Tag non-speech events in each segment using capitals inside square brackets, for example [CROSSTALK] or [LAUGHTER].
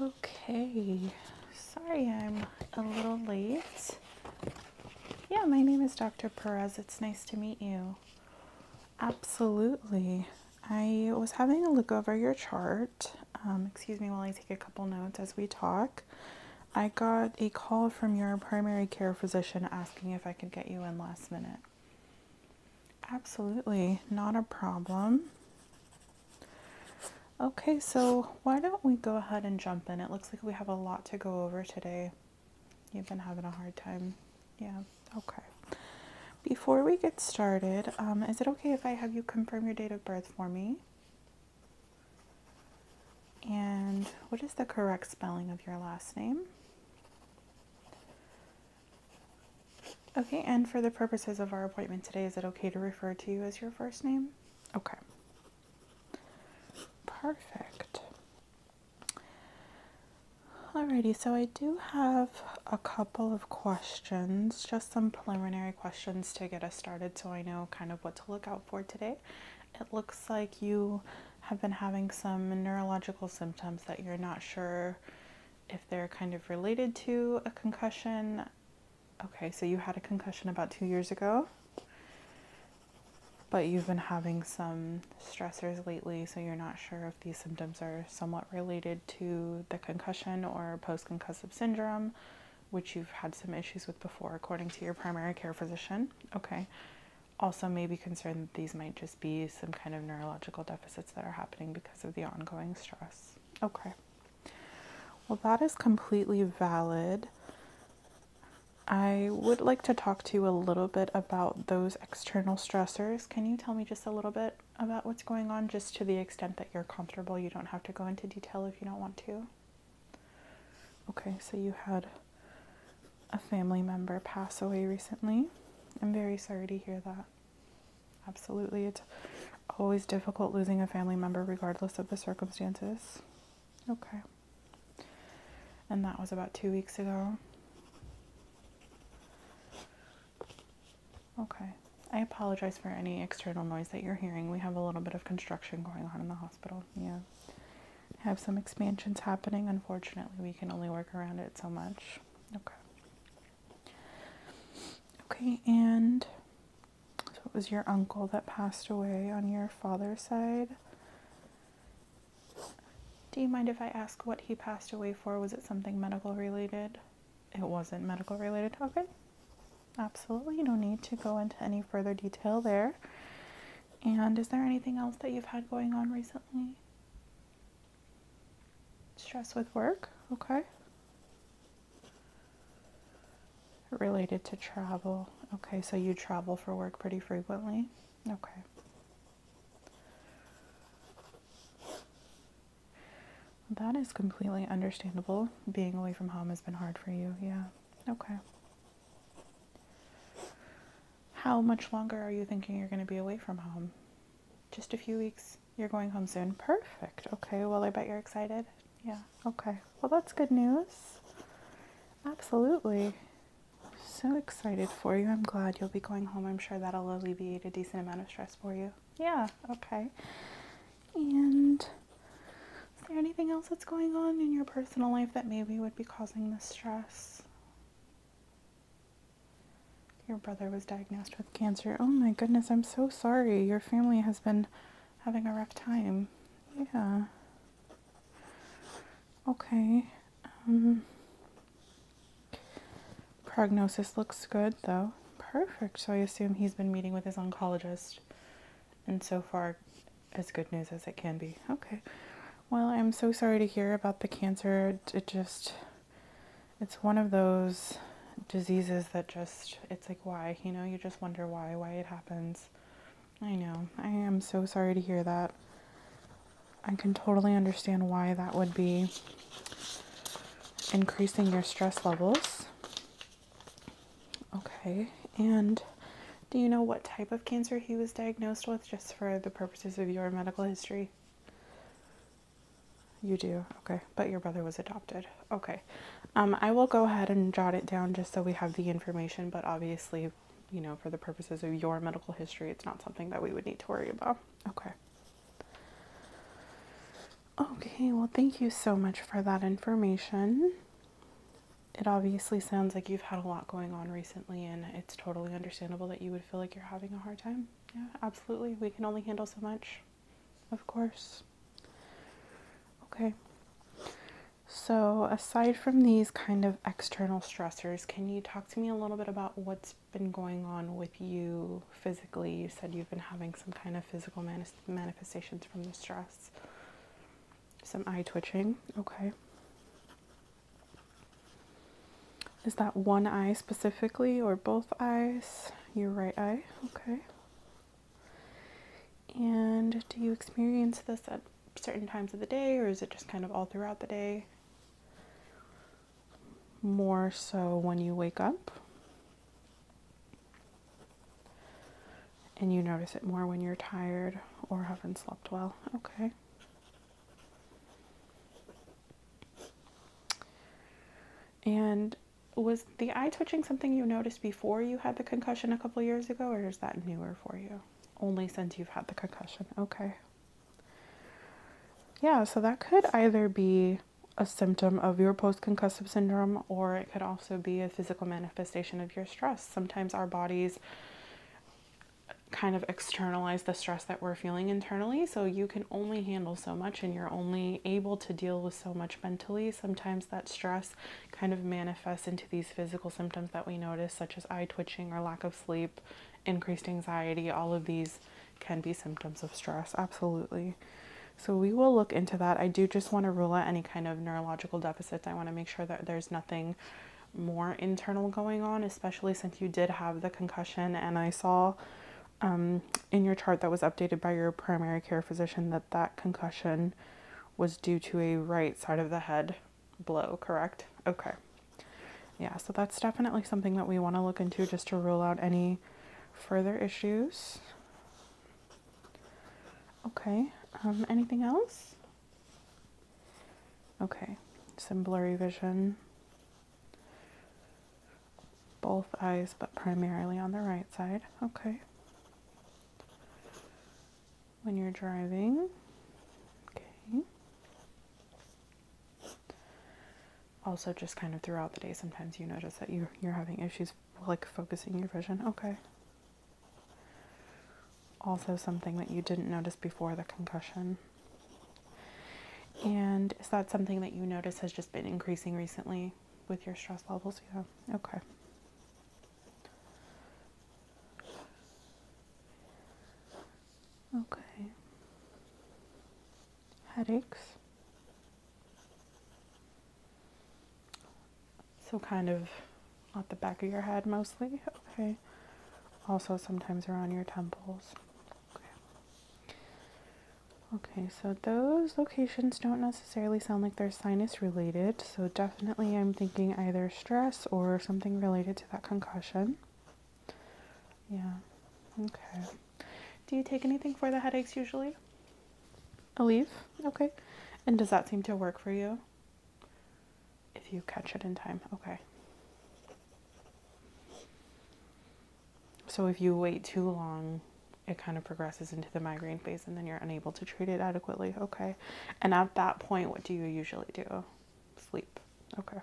Okay, sorry I'm a little late. Yeah, my name is Dr. Perez. It's nice to meet you. Absolutely. I was having a look over your chart. Um, excuse me while I take a couple notes as we talk. I got a call from your primary care physician asking if I could get you in last minute. Absolutely, not a problem. Okay, so why don't we go ahead and jump in? It looks like we have a lot to go over today. You've been having a hard time. Yeah, okay. Before we get started, um, is it okay if I have you confirm your date of birth for me? And what is the correct spelling of your last name? Okay, and for the purposes of our appointment today, is it okay to refer to you as your first name? Okay. Perfect. Alrighty, so I do have a couple of questions, just some preliminary questions to get us started so I know kind of what to look out for today. It looks like you have been having some neurological symptoms that you're not sure if they're kind of related to a concussion. Okay, so you had a concussion about two years ago, but you've been having some stressors lately, so you're not sure if these symptoms are somewhat related to the concussion or post concussive syndrome, which you've had some issues with before, according to your primary care physician. Okay, also may be concerned that these might just be some kind of neurological deficits that are happening because of the ongoing stress. Okay. Well, that is completely valid. I would like to talk to you a little bit about those external stressors. Can you tell me just a little bit about what's going on, just to the extent that you're comfortable? You don't have to go into detail if you don't want to. Okay, so you had a family member pass away recently. I'm very sorry to hear that. Absolutely. It's always difficult losing a family member, regardless of the circumstances. Okay. And that was about two weeks ago. Okay. I apologize for any external noise that you're hearing. We have a little bit of construction going on in the hospital. Yeah have some expansions happening. Unfortunately, we can only work around it so much. Okay. Okay, and so it was your uncle that passed away on your father's side. Do you mind if I ask what he passed away for? Was it something medical related? It wasn't medical related. Okay. Absolutely. No need to go into any further detail there. And is there anything else that you've had going on recently? Stress with work, okay. Related to travel, okay, so you travel for work pretty frequently, okay. That is completely understandable. Being away from home has been hard for you, yeah, okay. How much longer are you thinking you're going to be away from home? Just a few weeks. You're going home soon. Perfect. Okay, well, I bet you're excited. Yeah, okay. Well, that's good news. Absolutely. So excited for you. I'm glad you'll be going home. I'm sure that'll alleviate a decent amount of stress for you. Yeah, okay. And is there anything else that's going on in your personal life that maybe would be causing this stress? Your brother was diagnosed with cancer. Oh my goodness, I'm so sorry. Your family has been having a rough time. Yeah. Okay. Um, prognosis looks good though. Perfect. So I assume he's been meeting with his oncologist and so far as good news as it can be. Okay. Well, I'm so sorry to hear about the cancer. It just, it's one of those diseases that just, it's like, why? You know, you just wonder why, why it happens. I know. I am so sorry to hear that. I can totally understand why that would be increasing your stress levels. Okay, and do you know what type of cancer he was diagnosed with just for the purpose? purposes of your medical history? You do, okay. But your brother was adopted. Okay. Um, I will go ahead and jot it down just so we have the information, but obviously, you know, for the purposes of your medical history, it's not something that we would need to worry about. Okay. Okay, well, thank you so much for that information. It obviously sounds like you've had a lot going on recently and it's totally understandable that you would feel like you're having a hard time. Yeah, absolutely. We can only handle so much, of course. Okay. So, aside from these kind of external stressors, can you talk to me a little bit about what's been going on with you physically? You said you've been having some kind of physical manifestations from the stress, some eye twitching. Okay. Is that one eye specifically or both eyes? Your right eye? Okay. And do you experience this at certain times of the day or is it just kind of all throughout the day? More so when you wake up. And you notice it more when you're tired or haven't slept well. Okay. And was the eye twitching something you noticed before you had the concussion a couple years ago, or is that newer for you? Only since you've had the concussion. Okay. Yeah, so that could either be a symptom of your post concussive syndrome, or it could also be a physical manifestation of your stress. Sometimes our bodies kind of externalize the stress that we're feeling internally. So you can only handle so much and you're only able to deal with so much mentally. Sometimes that stress kind of manifests into these physical symptoms that we notice, such as eye twitching or lack of sleep, increased anxiety. All of these can be symptoms of stress, absolutely. So we will look into that. I do just want to rule out any kind of neurological deficits. I want to make sure that there's nothing more internal going on, especially since you did have the concussion. And I saw um, in your chart that was updated by your primary care physician that that concussion was due to a right side of the head blow, correct? Okay. Yeah, so that's definitely something that we want to look into just to rule out any further issues. Okay, um, anything else? Okay, some blurry vision. Both eyes, but primarily on the right side. Okay. When you're driving, okay. Also, just kind of throughout the day, sometimes you notice that you you're having issues like focusing your vision. Okay also something that you didn't notice before the concussion? And is that something that you notice has just been increasing recently with your stress levels? Yeah, okay. Okay. Headaches. So, kind of at the back of your head mostly. Okay. Also, sometimes around your temples. Okay. okay, so those locations don't necessarily sound like they're sinus related, so definitely I'm thinking either stress or something related to that concussion. Yeah, okay. Do you take anything for the headaches usually? A leaf? Okay. And does that seem to work for you? If you catch it in time, okay. So if you wait too long, it kind of progresses into the migraine phase and then you're unable to treat it adequately. Okay. And at that point, what do you usually do? Sleep. Okay.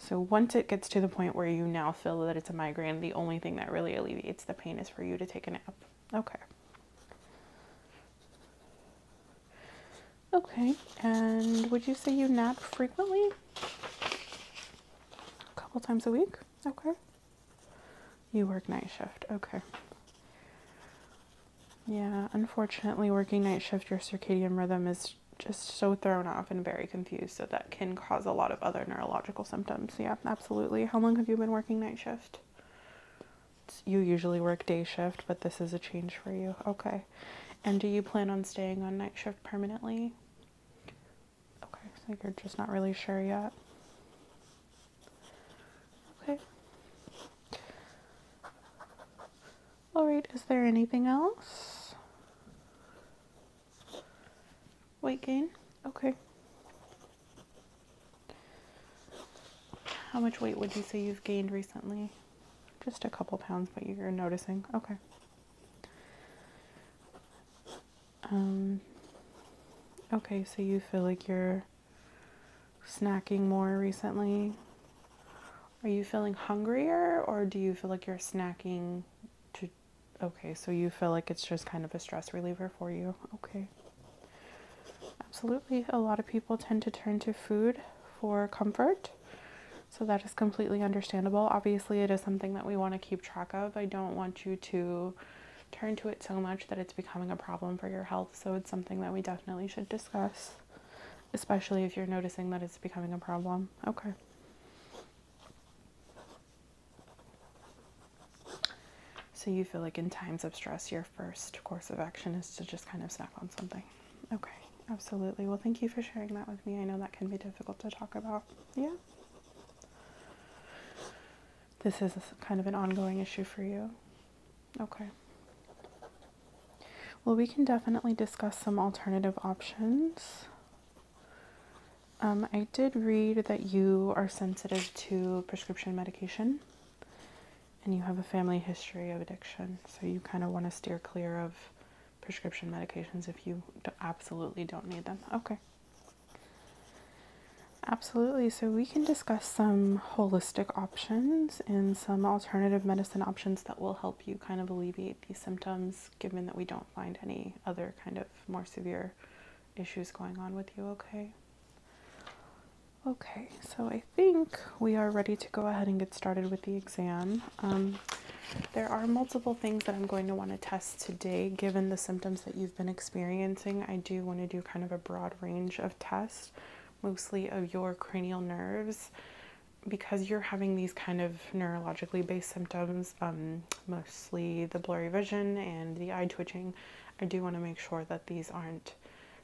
So once it gets to the point where you now feel that it's a migraine, the only thing that really alleviates the pain is for you to take a nap. Okay. Okay, and would you say you nap frequently? A couple times a week? Okay. You work night shift. Okay. Yeah, unfortunately, working night shift, your circadian rhythm is just so thrown off and very confused, so that can cause a lot of other neurological symptoms. Yeah, absolutely. How long have you been working night shift? you usually work day shift, but this is a change for you. Okay. And do you plan on staying on night shift permanently? Okay, so you're just not really sure yet. Okay. All right, is there anything else? Weight gain? Okay. How much weight would you say you've gained recently? Just a couple pounds, but you're noticing. Okay. Um, okay, so you feel like you're snacking more recently. Are you feeling hungrier or do you feel like you're snacking to Okay, so you feel like it's just kind of a stress reliever for you. Okay. Absolutely, a lot of people tend to turn to food for comfort, so that is completely understandable. Obviously, it is something that we want to keep track of. I don't want you to turn to it so much that it's becoming a problem for your health, so it's something that we definitely should discuss, especially if you're noticing that it's becoming a problem. Okay. So you feel like in times of stress, your first course of action is to just kind of snack on something. Okay, absolutely. Well, thank you for sharing that with me. I know that can be difficult to talk about. Yeah. This is kind of an ongoing issue for you. Okay. Well, we can definitely discuss some alternative options. Um, I did read that you are sensitive to prescription medication and you have a family history of addiction, so you kind of want to steer clear of prescription medications if you absolutely don't need them. Okay. Absolutely. So, we can discuss some holistic options and some alternative medicine options that will help you kind of alleviate these symptoms, given that we don't find any other kind of more severe issues going on with you, okay? Okay, so I think we are ready to go ahead and get started with the exam. Um, there are multiple things that I'm going to want to test today given the symptoms that you've been experiencing. I do want to do kind of a broad range of tests, mostly of your cranial nerves. Because you're having these kind of neurologically based symptoms, um, mostly the blurry vision and the eye twitching, I do want to make sure that these aren't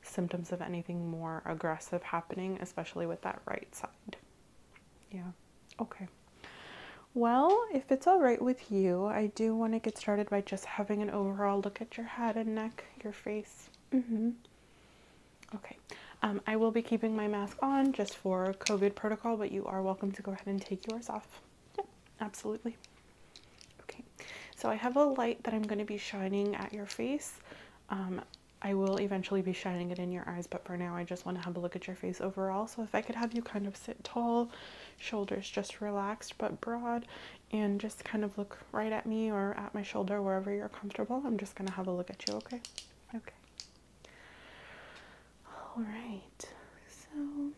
symptoms of anything more aggressive happening, especially with that right side. Yeah, okay. Well, if it's all right with you, I do want to get started by just having an overall look at your head and neck, your face. Mm-hmm. Okay. Um, I will be keeping my mask on just for COVID protocol, but you are welcome to go ahead and take yours off. Yep, absolutely. Okay. So I have a light that I'm going to be shining at your face. Um, I will eventually be shining it in your eyes, but for now I just want to have a look at your face overall. So if I could have you kind of sit tall, shoulders just relaxed but broad, and just kind of look right at me or at my shoulder, wherever you're comfortable, I'm just going to have a look at you, okay? Okay. All right. So...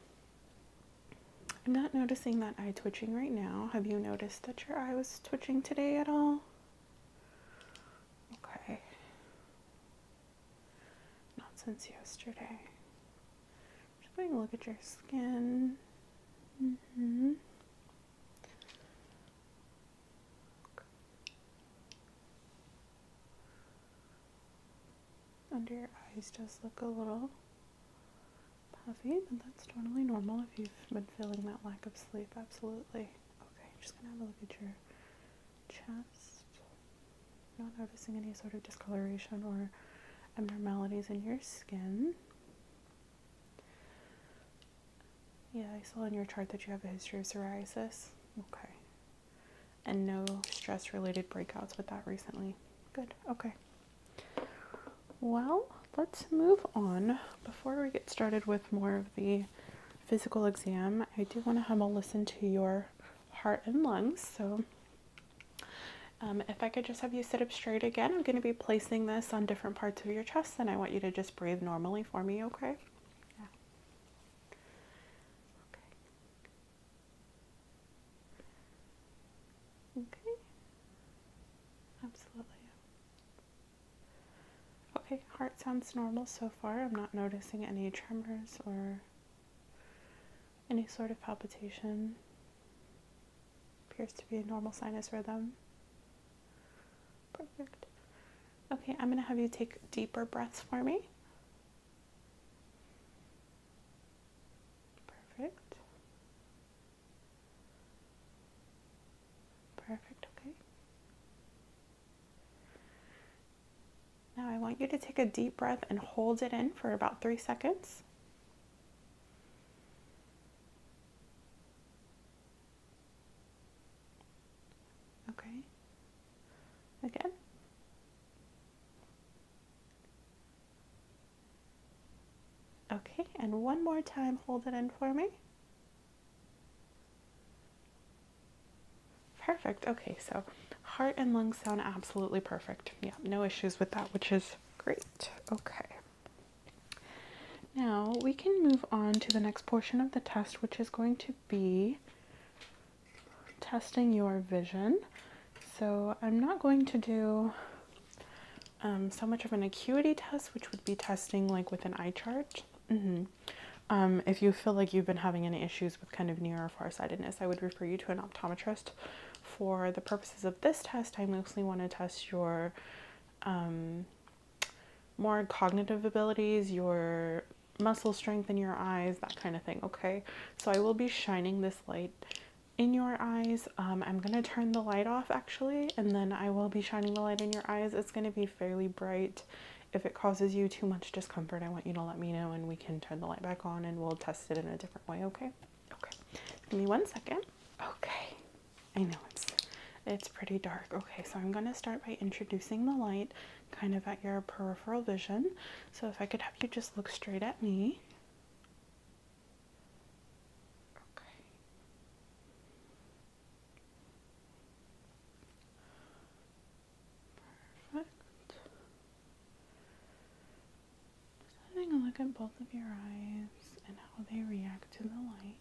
I'm not noticing that eye twitching right now. Have you noticed that your eye was twitching today at all? Okay. Not since yesterday. just going to look at your skin. Mm hmm Under your eyes does look a little puffy, but that's totally normal if you've been feeling that lack of sleep. Absolutely. Okay, just gonna have a look at your chest. Not noticing any sort of discoloration or abnormalities in your skin. Yeah, I saw in your chart that you have a history of psoriasis. Okay. And no stress related breakouts with that recently. Good. Okay. Well, let's move on. Before we get started with more of the physical exam, I do want to have a listen to your heart and lungs. So, um, if I could just have you sit up straight again, I'm going to be placing this on different parts of your chest, and I want you to just breathe normally for me, okay? Yeah. Okay. Okay. Absolutely. Okay, heart sounds normal so far. I'm not noticing any tremors or any sort of palpitation. Appears to be a normal sinus rhythm. Perfect. Okay, I'm going to have you take deeper breaths for me. Perfect. Perfect, okay. Now I want you to take a deep breath and hold it in for about three seconds. Okay. Again. Okay, and one more time, hold it in for me. Perfect. Okay, so heart and lungs sound absolutely perfect. Yeah, no issues with that, which is great. Okay. Now we can move on to the next portion of the test, which is going to be testing your vision. So I'm not going to do um, so much of an acuity test, which would be testing like with an eye chart. Mm-hmm. Um, if you feel like you've been having any issues with kind of near or farsightedness, I would refer you to an optometrist. For the purposes of this test, I mostly want to test your um, more cognitive abilities, your muscle strength in your eyes, that kind of thing. Okay, so I will be shining this light in your eyes. I'm gonna turn the light off actually and then I will be shining the light in your eyes. It's going to be fairly bright. If it causes you too much discomfort, I want you to let me know and we can turn the light back on and we'll test it in a different way, okay? Okay. Give me one second. Okay. I know it's it's pretty dark. Okay, so I'm going to start by introducing the light kind of at your peripheral vision. So if I could have you just look straight at me. Okay. Perfect. Just having a look at both of your eyes and how they react to the light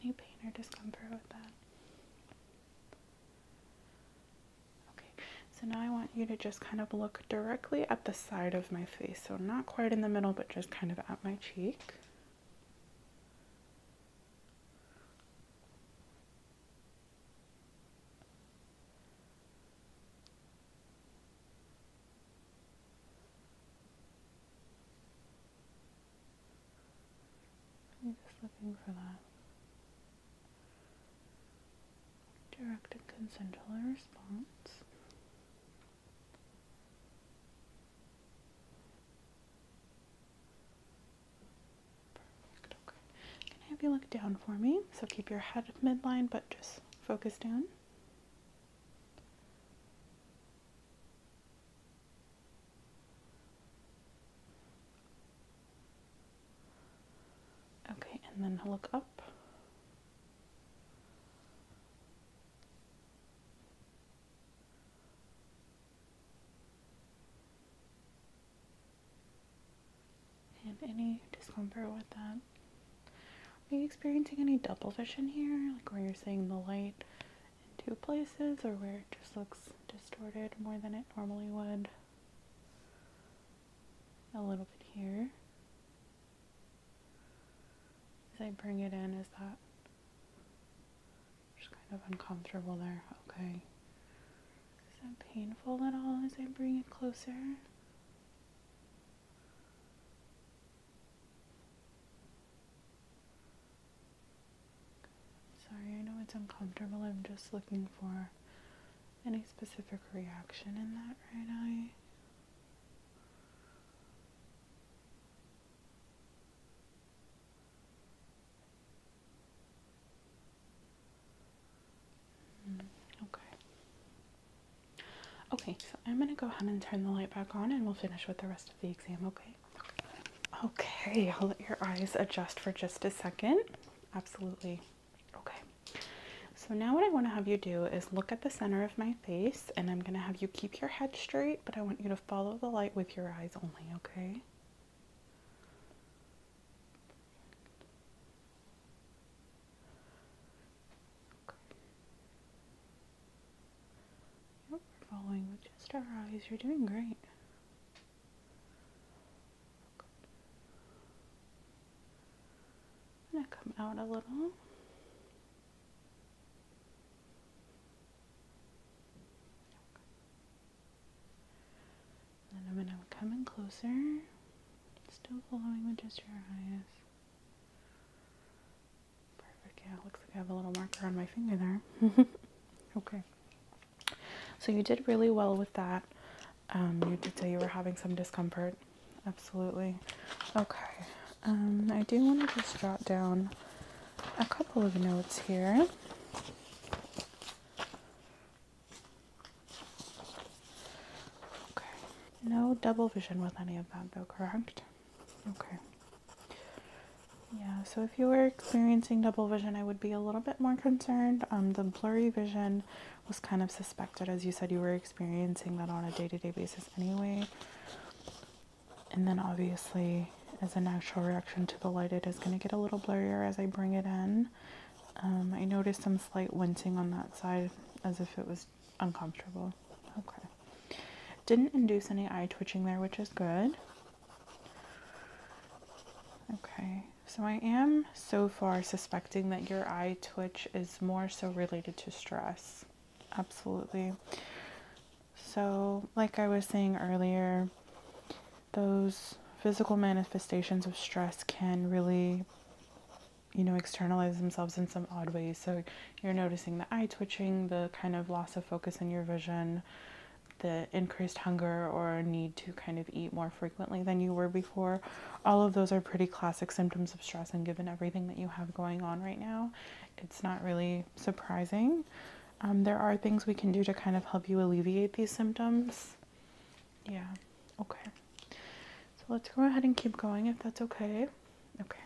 any pain or discomfort with that? Okay, so now I want you to just kind of look directly at the side of my face. So not quite in the middle, but just kind of at my cheek. I'm just looking for that. Direct and consensual response. Perfect, okay. Can I have you look down for me? So keep your head midline, but just focus down. Okay, and then look up. And any discomfort with that? Are you experiencing any double vision here? Like where you're seeing the light in two places or where it just looks distorted more than it normally would. A little bit here. As I bring it in, is that just kind of uncomfortable there? Okay. Is that painful at all as I bring it closer? Sorry, I know it's uncomfortable. I'm just looking for any specific reaction in that right eye. Hmm, okay, so I'm going to go ahead and turn the light back on and we'll finish with the rest of the exam, okay? Okay, I'll let your eyes adjust for just a second. Absolutely. Okay. So now what I want to have you do is look at the center of my face and I'm going to have you keep your head straight, but I want you to follow the light with your eyes only, okay? you are following with just our eyes. You're doing great. gonna come out a little. then I'm gonna come in closer. Still following with just your eyes. Perfect. Yeah, looks like I have a little marker on my finger there. [LAUGHS] okay. So you did really well with that. Um, you did say you were having some discomfort. Absolutely. Okay. Um, I do want to just jot down a couple of notes here. Okay. No double vision with any of that, though, correct? Okay. Yeah, so if you were experiencing double vision, I would be a little bit more concerned. Um, the blurry vision was kind of suspected, as you said, you were experiencing that on a day to day basis anyway. And then, obviously, as a natural reaction to the light, it is going to get a little blurrier as I bring it in. Um, I noticed some slight wincing on that side as if it was uncomfortable. Okay. Didn't induce any eye twitching there, which is good. Okay, so I am so far suspecting that your eye twitch is more so related to stress. Absolutely. So, like I was saying earlier, those physical manifestations of stress can really, you know, externalize themselves in some odd ways. So, you're noticing the eye twitching, the kind of loss of focus in your vision the increased hunger or need to kind of eat more frequently than you were before. All of those are pretty classic symptoms of stress, and given everything that you have going on right now, it's not really surprising. Um, there are things we can do to kind of help you alleviate these symptoms. Yeah, okay. So let's go ahead and keep going if that's okay. Okay.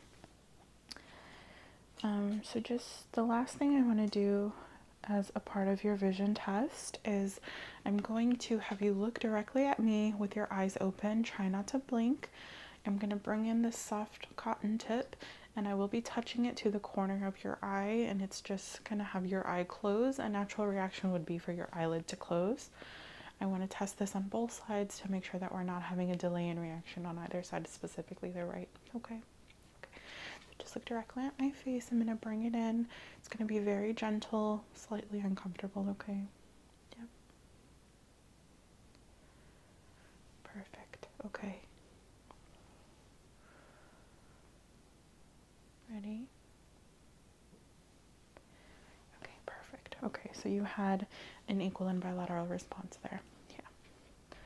Um, so just the last thing I want to do as a part of your vision test is I'm going to have you look directly at me with your eyes open. Try not to blink. I'm going to bring in this soft cotton tip and I will be touching it to the corner of your eye and it's just going to have your eye close. A natural reaction would be for your eyelid to close. I want to test this on both sides to make sure that we're not having a delay in reaction on either side, specifically the right. Okay just look directly at my face. I'm gonna bring it in. It's gonna be very gentle, slightly uncomfortable, okay? Yep. Perfect. Okay. Ready? Okay, perfect. Okay, so you had an equal and bilateral response there. Yeah.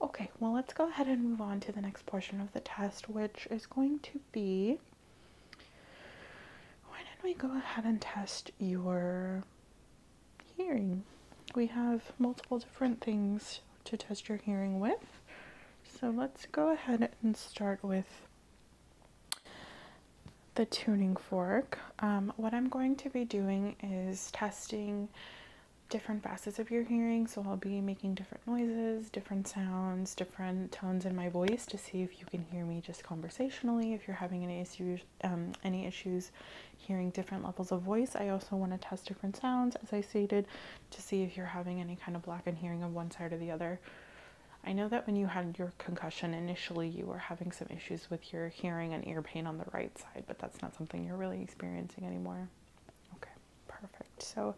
Okay, well, let's go ahead and move on to the next portion of the test, which is going to be why don't we go ahead and test your hearing? We have multiple different things to test your hearing with. So let's go ahead and start with the tuning fork. Um, what I'm going to be doing is testing different facets of your hearing. So I'll be making different noises, different sounds, different tones in my voice to see if you can hear me just conversationally. If you're having any issues, um, any issues hearing different levels of voice, I also want to test different sounds, as I stated, to see if you're having any kind of black in hearing on one side or the other. I know that when you had your concussion initially, you were having some issues with your hearing and ear pain on the right but that's not something you're really experiencing anymore. Okay, perfect. So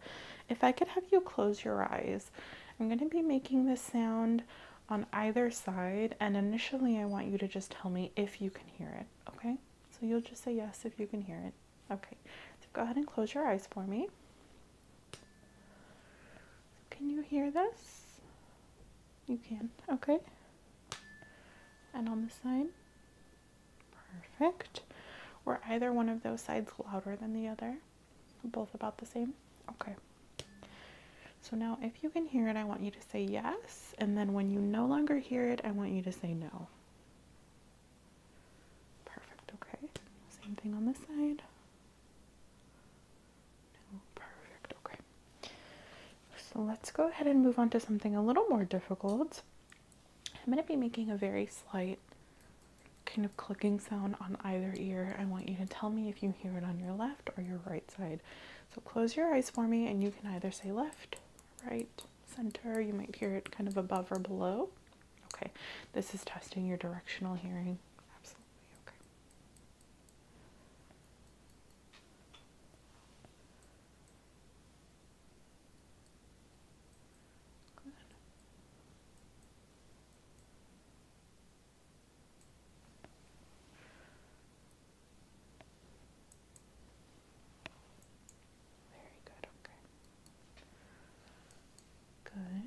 if I could have you close your eyes, I'm going to be making this sound on either side, and initially I want you to just tell me if you can hear it, okay? So you'll just say yes if you can hear it. Okay, so go ahead and close your eyes for me. Can you hear this? You can, okay. And on this side, perfect. Were either one of those sides louder than the other? Both about the same? Okay. So now if you can hear it, I want you to say yes. And then when you no longer hear it, I want you to say no. Perfect, okay. Same thing on this side. perfect, okay. So let's go ahead and move on to something a little more difficult. I'm going to be making a very slight kind of clicking sound on either ear. I want you to tell me if you hear it on your left or your right side. So close your eyes for me and you can either say left, right, center. You might hear it kind of above or below. Okay, this is testing your directional hearing. Absolutely okay. Good. Very good, okay. Good.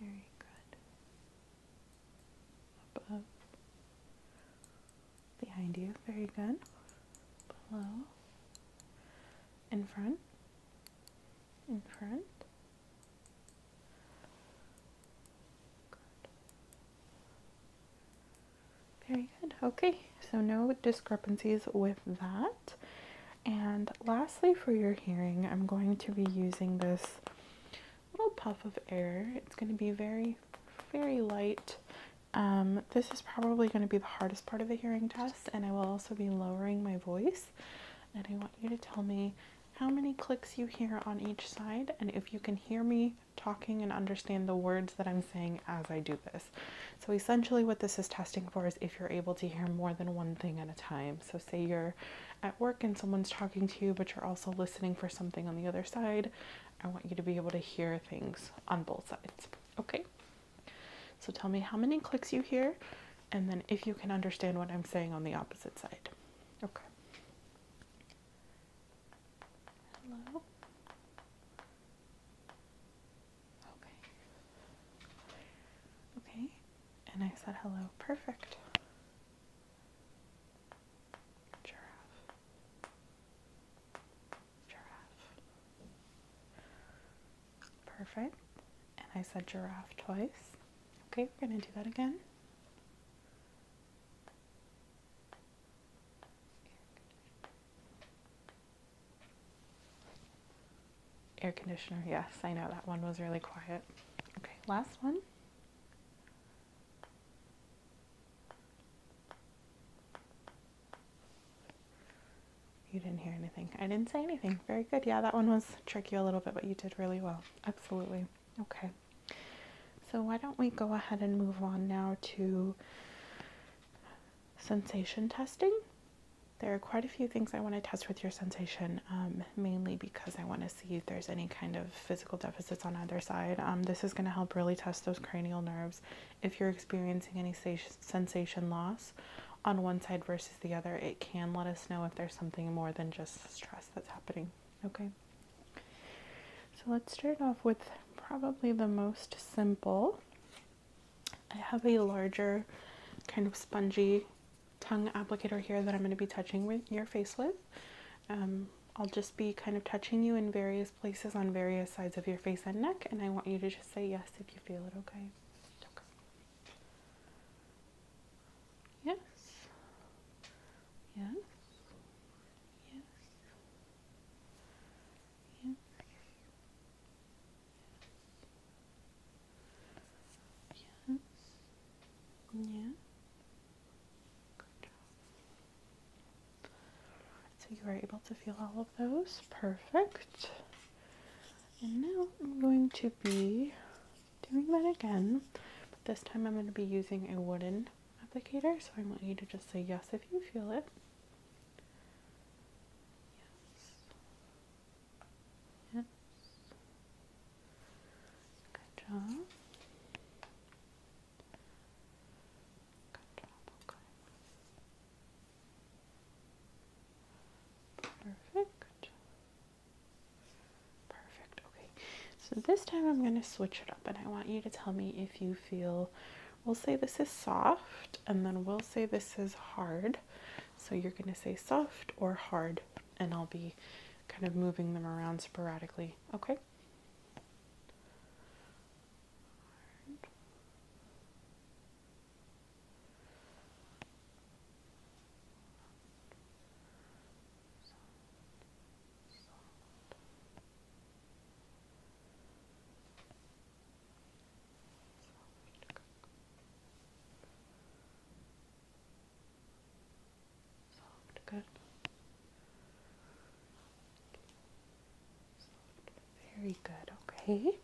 Very good up, behind you, very good, below, in front, in front, very good, okay, so no discrepancies with that, and lastly for your hearing, I'm going to be using this little puff of air. It's going to be very, very light. Um, this is probably going to be the hardest part of the hearing test, and I will also be lowering my voice. And I want you to tell me how many clicks you hear on each side and if you can hear me talking and understand the words that I'm saying as I do this. So essentially what this is testing for is if you're able to hear more than one thing at a time. So say you're at work and someone's talking to you, but you're also listening for something on the other side. I want you to be able to hear things on both sides. Okay? So, tell me how many clicks you hear, and then if you can understand what I'm saying on the opposite side. Okay. Hello? Okay. Okay. And I said hello. Perfect. Giraffe. Giraffe. Perfect. And I said giraffe twice. Okay, we're going to do that again. Air conditioner, yes, I know that one was really quiet. Okay, last one. You didn't hear anything. I didn't say anything. Very good. Yeah, that one was tricky a little bit, but you did really well. Absolutely. Okay. So why don't we go ahead and move on now to sensation testing. There are quite a few things I want to test with your sensation, um, mainly because I want to see if there's any kind of physical deficits on either side. Um, this is going to help really test those cranial nerves. If you're experiencing any sensation loss on one side versus the other, it can let us know if there's something more than just stress that's happening. Okay. So let's start off with probably the most simple. I have a larger kind of spongy tongue applicator here that I'm going to be touching with your face with. Um, I'll just be kind of touching you in various places on various sides of your face and neck, and I want you to just say yes if you feel it, okay? Yes. Yes. Yes. Yes. Yes. Yes. So you were able to feel all of those. Perfect. And now I'm going to be doing that again. But this time I'm going to be using a wooden applicator. So I want you to just say yes if you feel it. Yes. Yes. Good job. Good job, okay. Perfect. Perfect, okay. So this time I'm going to switch it up and I want you to tell me if you feel, we'll say this is soft and then we'll say this is hard. So you're going to say soft or hard and I'll be kind of moving them around sporadically. Okay good. very good. Okay.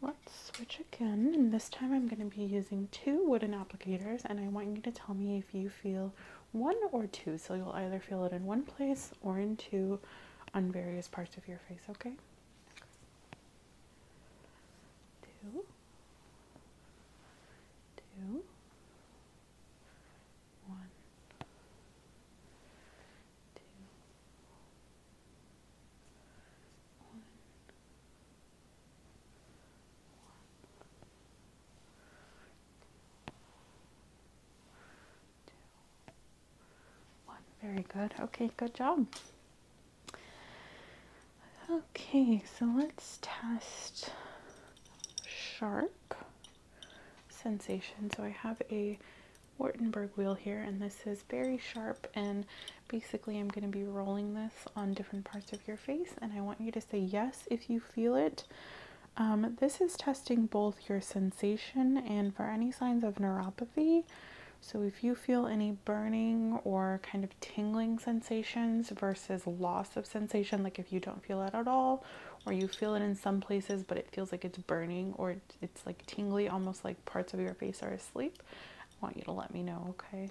let's switch again, and this time I'm going to be using two wooden applicators, and I want you to tell me if you feel one or two. So you'll either feel it in one place or in two on various parts of your face, okay two, two, one, two, one, one, two, one. Very good. Okay, good job. Okay, so let's test sharp sensation. So I have a Wartenberg wheel here and this is very sharp and basically I'm going to be rolling this on different parts of your face and I want you to say yes if you feel it. Um, this is testing both your sensation and for any signs of neuropathy. So if you feel any burning or kind of tingling sensations versus loss of sensation, like if you don't feel it at all, or you feel it in some places but it feels like it's burning or it's like tingly, almost like parts of your face are asleep. I want you to let me know, Okay.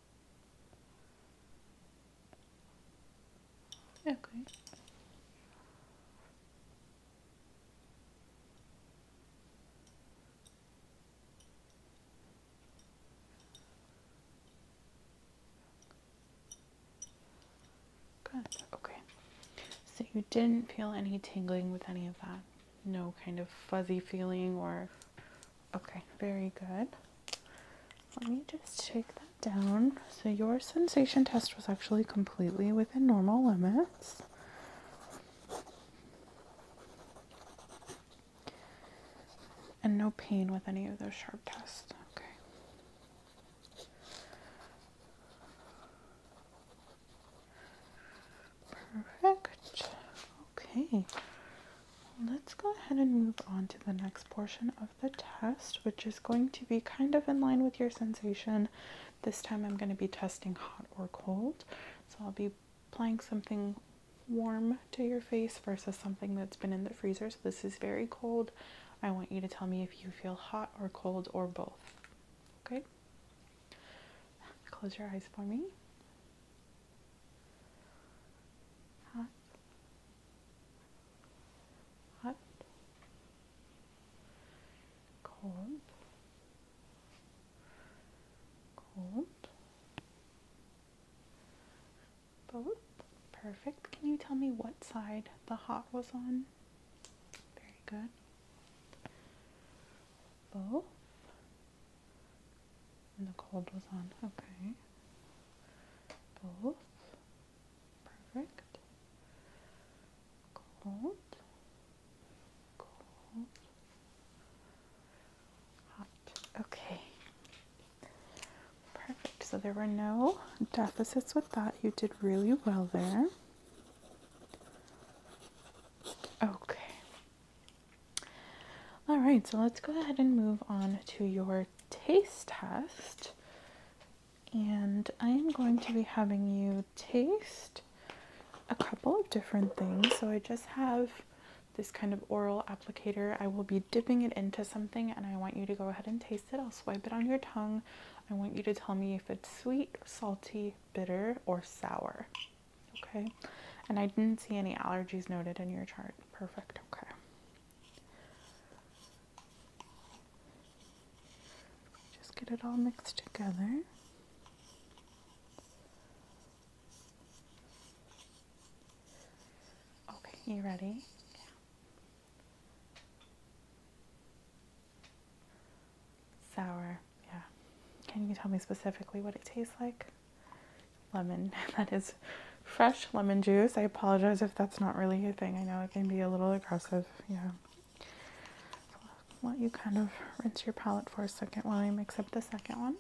Okay. Good. Okay. So you didn't feel any tingling with any of that? No kind of fuzzy feeling or Okay, very good. Let me just take that down. So, your sensation test was actually completely within normal limits. And no pain with any of those sharp tests. Okay. Perfect. Okay, let's go ahead and move on to the next portion of the test, which is going to be kind of in line with your sensation. This time I'm going to be testing hot or cold. So I'll be applying something warm to your face versus something that's been in the freezer. So this is very cold. I want you to tell me if you feel hot or cold or both. Okay? Close your eyes for me. Hot. Hot. Cold. Cold. Both. Perfect. Can you tell me what side the hot was on? Very good. Both. And the cold was on. Okay. Both. Perfect. Cold. Cold. Hot. Okay. Perfect. So there were no deficits with that. You did really well there. Okay. All right, so let's go ahead and move on to your taste test. And I am going to be having you taste a couple of different things. So I just have this kind of oral applicator. I will be dipping it into something and I want you to go ahead and taste it. I'll swipe it on your tongue. I want you to tell me if it's sweet, salty, bitter, or sour. Okay, and I didn't see any allergies noted in your chart. Perfect. Okay. Just get it all mixed together. Okay, you ready? Sour, yeah. Can you tell me specifically what it tastes like? lemon. [LAUGHS] That is fresh lemon juice. I apologize if that's not really your thing. I know it can be a little aggressive. Yeah. I'll let you kind of rinse your palette for a second while I mix up the second one.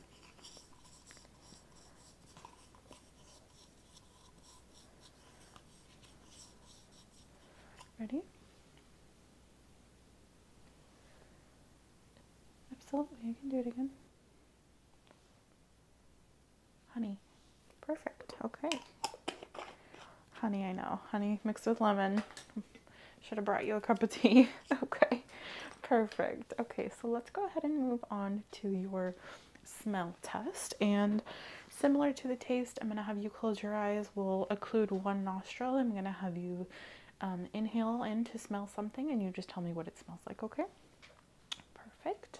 Ready? Absolutely, you can do it again. Honey. Perfect. Okay. Honey, I know. Honey mixed with lemon. Should have brought you a cup of tea. [LAUGHS] okay. Perfect. Okay, so let's go ahead and move on to your smell test. And similar to the taste, I'm going to have you close your eyes. We'll occlude one nostril. I'm going to have you um, inhale in to smell something, and you just tell me what it smells like, okay? Perfect.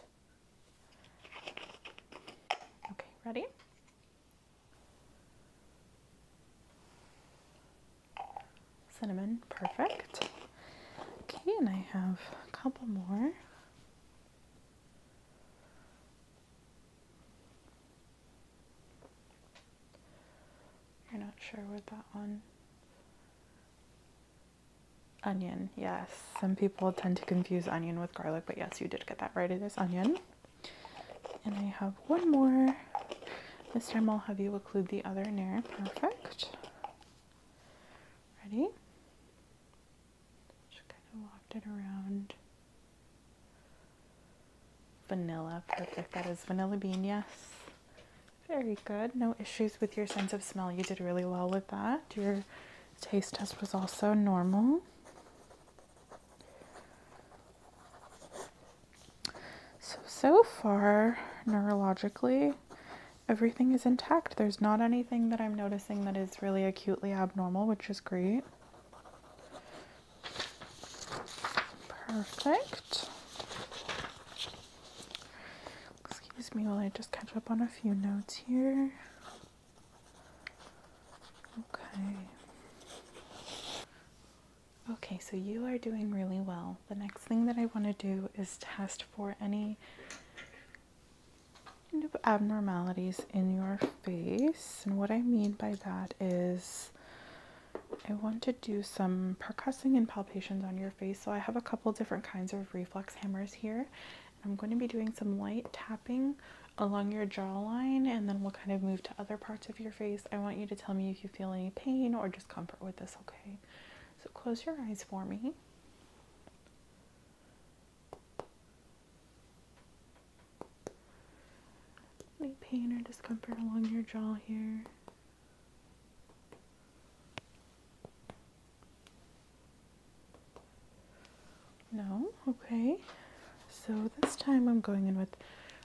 Okay, ready? Cinnamon, perfect. Okay, and I have a couple more. You're not sure with that one Onion, yes. Some people tend to confuse onion with garlic, but yes, you did get that right. It is onion. And I have one more. This time I'll have you include the other There, Perfect. Ready? Just kind of loft it around. Vanilla, perfect. That is vanilla bean, yes. Very good. No issues with your sense of smell. You did really well with that. Your taste test was also normal. So, so far, neurologically, everything is intact. There's not anything that I'm noticing that is really acutely abnormal, which is great. Perfect. Excuse me while I just catch up on a few notes here. Okay. Okay, so you are doing really well. The next thing that I want to do is test for any kind of abnormalities in your face. And what I mean by that is I want to do some percussing and palpations on your face. So I have a couple different kinds of reflex hammers here. I'm going to be doing some light tapping along your jawline and then we'll kind of move to other parts of your face. I want you to tell me if you feel any pain or discomfort with this, okay? So close your eyes for me. Any pain or discomfort along your jaw here? No? Okay. So this time I'm going in with a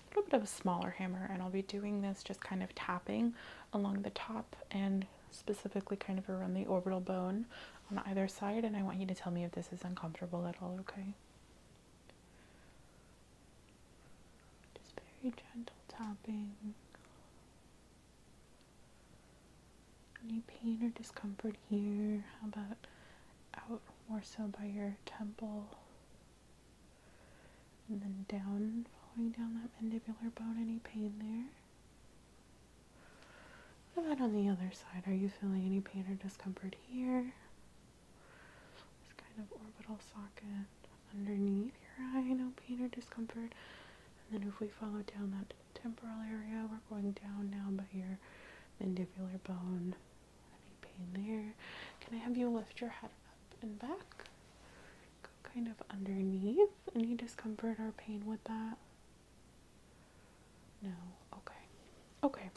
little bit of a smaller hammer and I'll be doing this just kind of tapping along the top and specifically kind of around the orbital bone on either side and I want you to tell me if this is uncomfortable at all, okay? Just very gentle tapping. Any pain or discomfort here? How about out more so by your temple? And then down, following down that mandibular bone. Any pain there? What about on the other side? Are you feeling any pain or discomfort here? this kind of orbital socket underneath your eye no pain or discomfort and then if we follow down that to the temporal area we're going down now by your mandibular bone any pain there can i have you lift your head up and back go kind of underneath any discomfort or pain with that no okay okay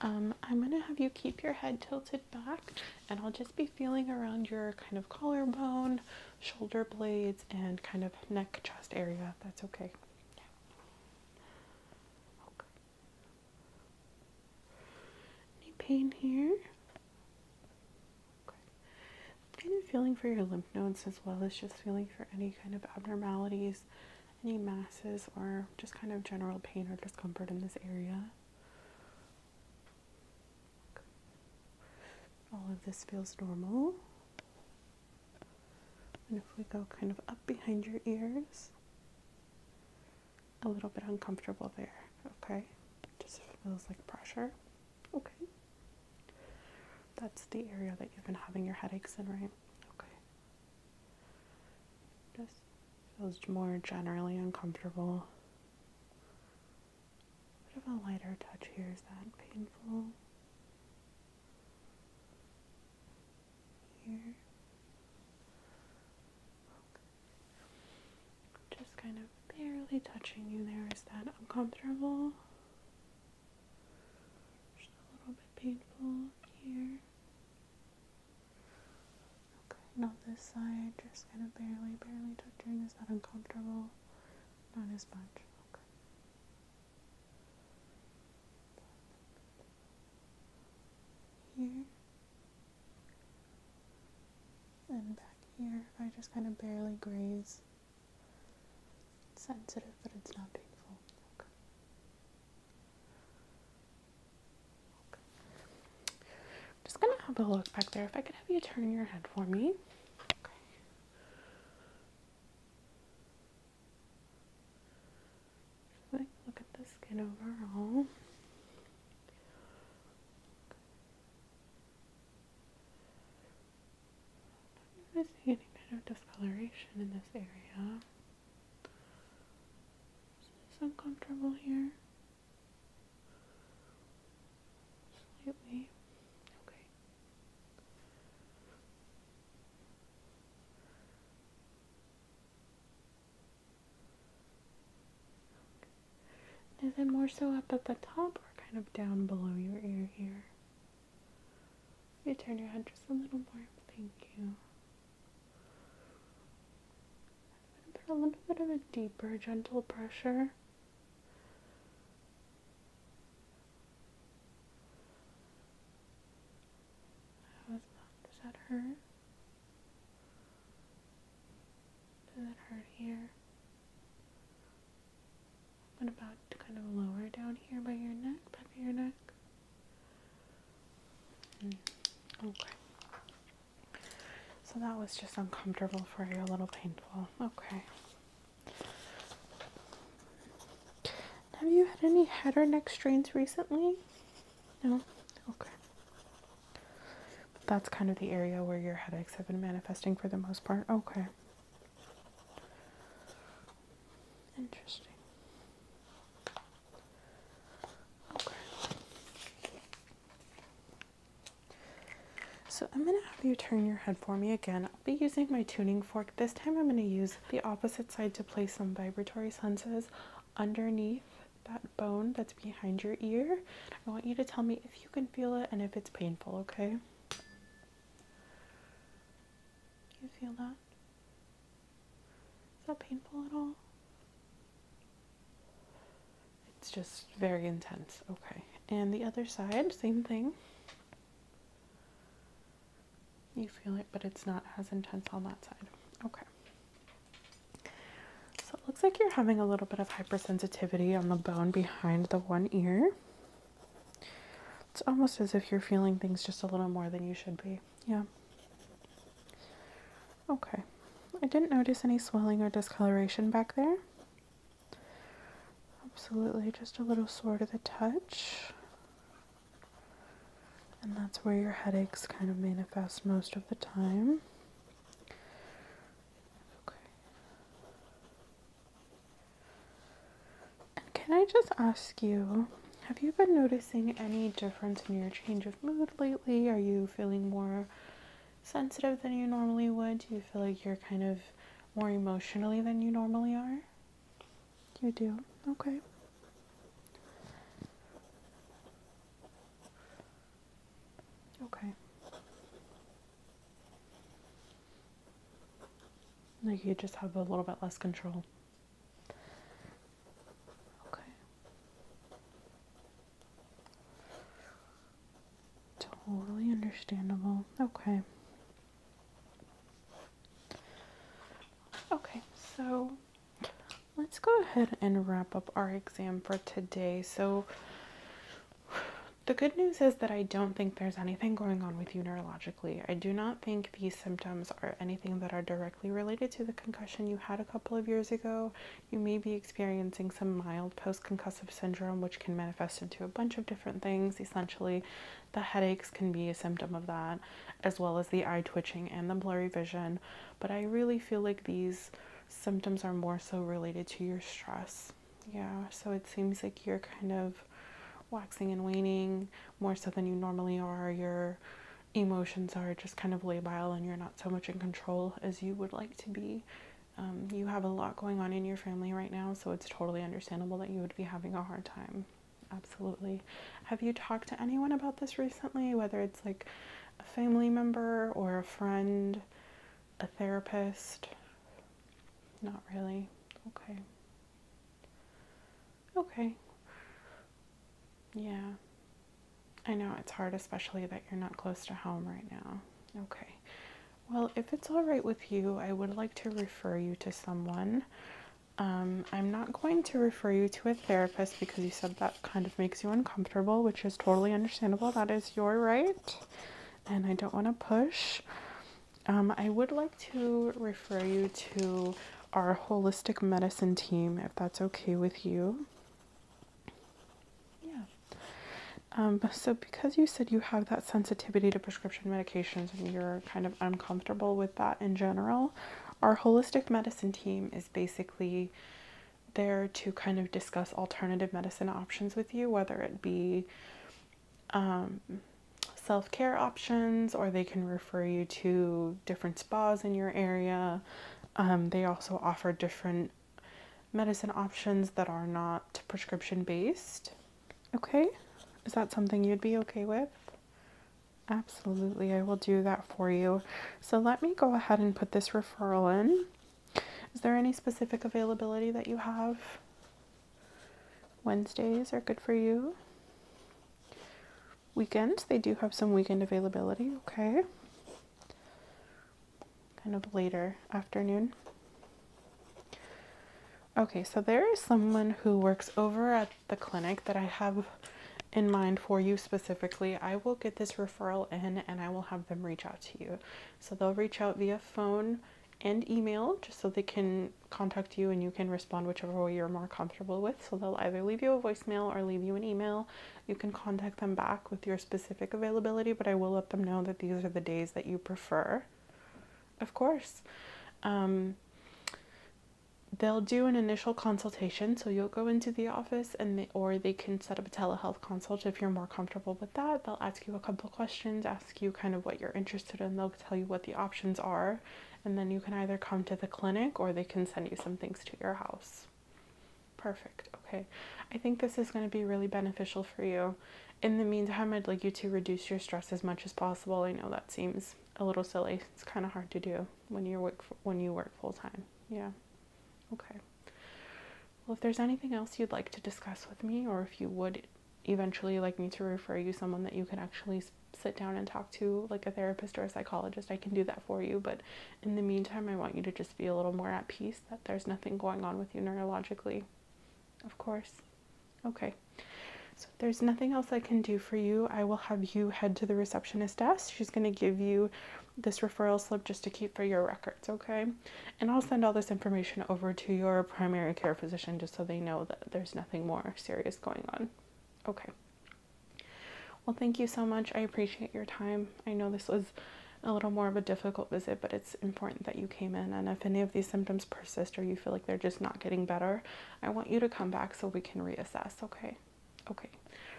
um, i'm gonna have you keep your head tilted back and I'll just be feeling around your kind of collarbone, shoulder blades, and kind of neck, chest area. That's okay. Any pain here? Kind of feeling for your lymph nodes as well as just feeling for any kind of abnormalities, any masses, or just kind of general pain or discomfort in this area. All of this feels normal. And if we go kind of up behind your ears, a little bit uncomfortable there, okay? Just feels like pressure, okay? That's the area that you've been having your headaches in, right? Okay. Just Feels more generally uncomfortable. Bit of a lighter touch here. Is that painful? Here. Just kind of barely touching you there. Is that uncomfortable? Just a little bit painful here. Okay, not this side, just kind of barely, barely touching. Is that uncomfortable? Not as much. Okay. Here. And back here, I just kind of barely graze. It's sensitive, but it's not painful. Okay just gonna have a look back there. If I could have you turn your head for me. Okay. Just like look at the skin overall. I'm not noticing any kind of discoloration in this area. Is this uncomfortable here? Slightly. Okay. Okay. Is it more so up at the top or kind of down below your ear here? You turn your head just a little more. Thank you. Put a little bit of a deeper, gentle pressure. Does that hurt? Does that hurt here? What about kind of lower down here by your neck, back of your neck? Hmm, okay. So that was just uncomfortable for you, a little painful. Okay. Have you had any head or neck strains recently? No? Okay. That's kind of the area where your headaches have been manifesting for the most part. Okay. Interesting. Okay. So I'm going to have you turn your head for me again. I'll be using my tuning fork. This time I'm going to use the opposite side to place some vibratory senses underneath that bone that's behind your ear. I want you to tell me if you can feel it and if it's painful, okay? you feel that? Is that painful at all? It's just very intense. Okay. And the other side, same thing. You feel it, but it's not as intense on that side. Okay. So it looks like you're having a little bit of hypersensitivity on the bone behind the one ear. It's almost as if you're feeling things just a little more than you should be. Yeah. Okay, I didn't notice any swelling or discoloration back there. Absolutely, just a little sore to the touch. And that's where your headaches kind of manifest most of the time. Okay. can I just ask you, have you been noticing any difference in your change of mood lately? Are you feeling more sensitive than you normally would? Do you feel like you're kind of more emotionally than you normally are? You do. Okay. Okay. Like you just have a little bit less control. Okay. Totally understandable. Okay. Okay, so let's go ahead and wrap up our exam for today. So, the good news is that I don't think there's anything going on with you neurologically. I do not think these symptoms are anything that are directly related to the concussion you had a couple of years ago you may be experiencing some mild post concussive syndrome, which can manifest into a bunch of different things. Essentially, the headaches can be a symptom of that, as well as the eye twitching and the blurry vision. But I really feel like these symptoms are more so related to your stress. Yeah, so it seems like you're kind of waxing and waning more so than you normally are. Your emotions are just kind of labile and you're not so much in control as you would like to be. Um, you have a lot going on in your family right now, so it's totally understandable that you would be having a hard time. Absolutely. Have you talked to anyone about this recently? Whether it's like a family member or a friend, a therapist? Not really. Okay. Okay. Yeah. I know it's hard, especially that you're not close to home right now. Okay. Well, if it's all right with you, I would like to refer you to someone. Um, I'm not going to refer you to a therapist because you said that kind of makes you uncomfortable, which is totally understandable. That is your right, and I don't want to push. Um, I would like to refer you to our holistic medicine team if that's okay with you. Yeah. Um, so, because you said you have that sensitivity to prescription medications and you're kind of uncomfortable with that in general, our holistic medicine team is basically there to kind of discuss alternative medicine options with you, whether it be um, self care options or they can refer you to different spas in your area. Um, they also offer different medicine options that are not prescription based. Okay, is that something you'd be okay with? Absolutely, I will do that for you. So let me go ahead and put this referral in. Is there any specific availability that you have? Wednesdays are good for you. Weekends, they do have some weekend availability, okay? kind of later afternoon. Okay, so there is someone who works over at the clinic that I have in mind for you specifically. I will get this referral in and I will have them reach out to you. So they'll reach out via phone and email just so they can contact you and you can respond whichever way you're more comfortable with. So they'll either leave you a voicemail or leave you an email you can contact them back with your specific availability, but I will let them know that these are the days that you prefer. Of course. Um, they'll do an initial consultation so you'll go into the office and or they can set up a telehealth consult if you're more comfortable with that they'll ask you a couple questions ask you kind of what you're interested in they'll tell you what the options are and then you can either come to the clinic or they can send you some things to your house Perfect. Okay. I think this is going to be really beneficial for you. In the meantime, I'd like you to reduce your stress as much as possible. I know that seems a little silly. It's kind of hard to do when you work when you work full time. Yeah. Okay. Well, if there's anything else you'd like to discuss with me or if you would eventually like me to refer you someone that you can actually sit down and talk to like a therapist or a psychologist, I can do that for you, but in the meantime, I want you to just be a little more at peace that there's nothing going on with you neurologically. Of course. Okay. So if there's nothing else I can do for you, I will have you head to the receptionist desk. She's going to give you this referral slip just to keep for your records, okay? And I'll send all this information over to your primary care physician just so they know that there's nothing more serious going on. Okay. Well, thank you so much. I appreciate your time. I know this was a little more of a difficult visit, but it's important that you came in. And if any of these symptoms persist or you feel like they're just not getting better, I want you to come back so we can reassess, okay? Okay.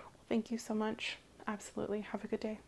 Well, thank you so much. Absolutely. Have a good day.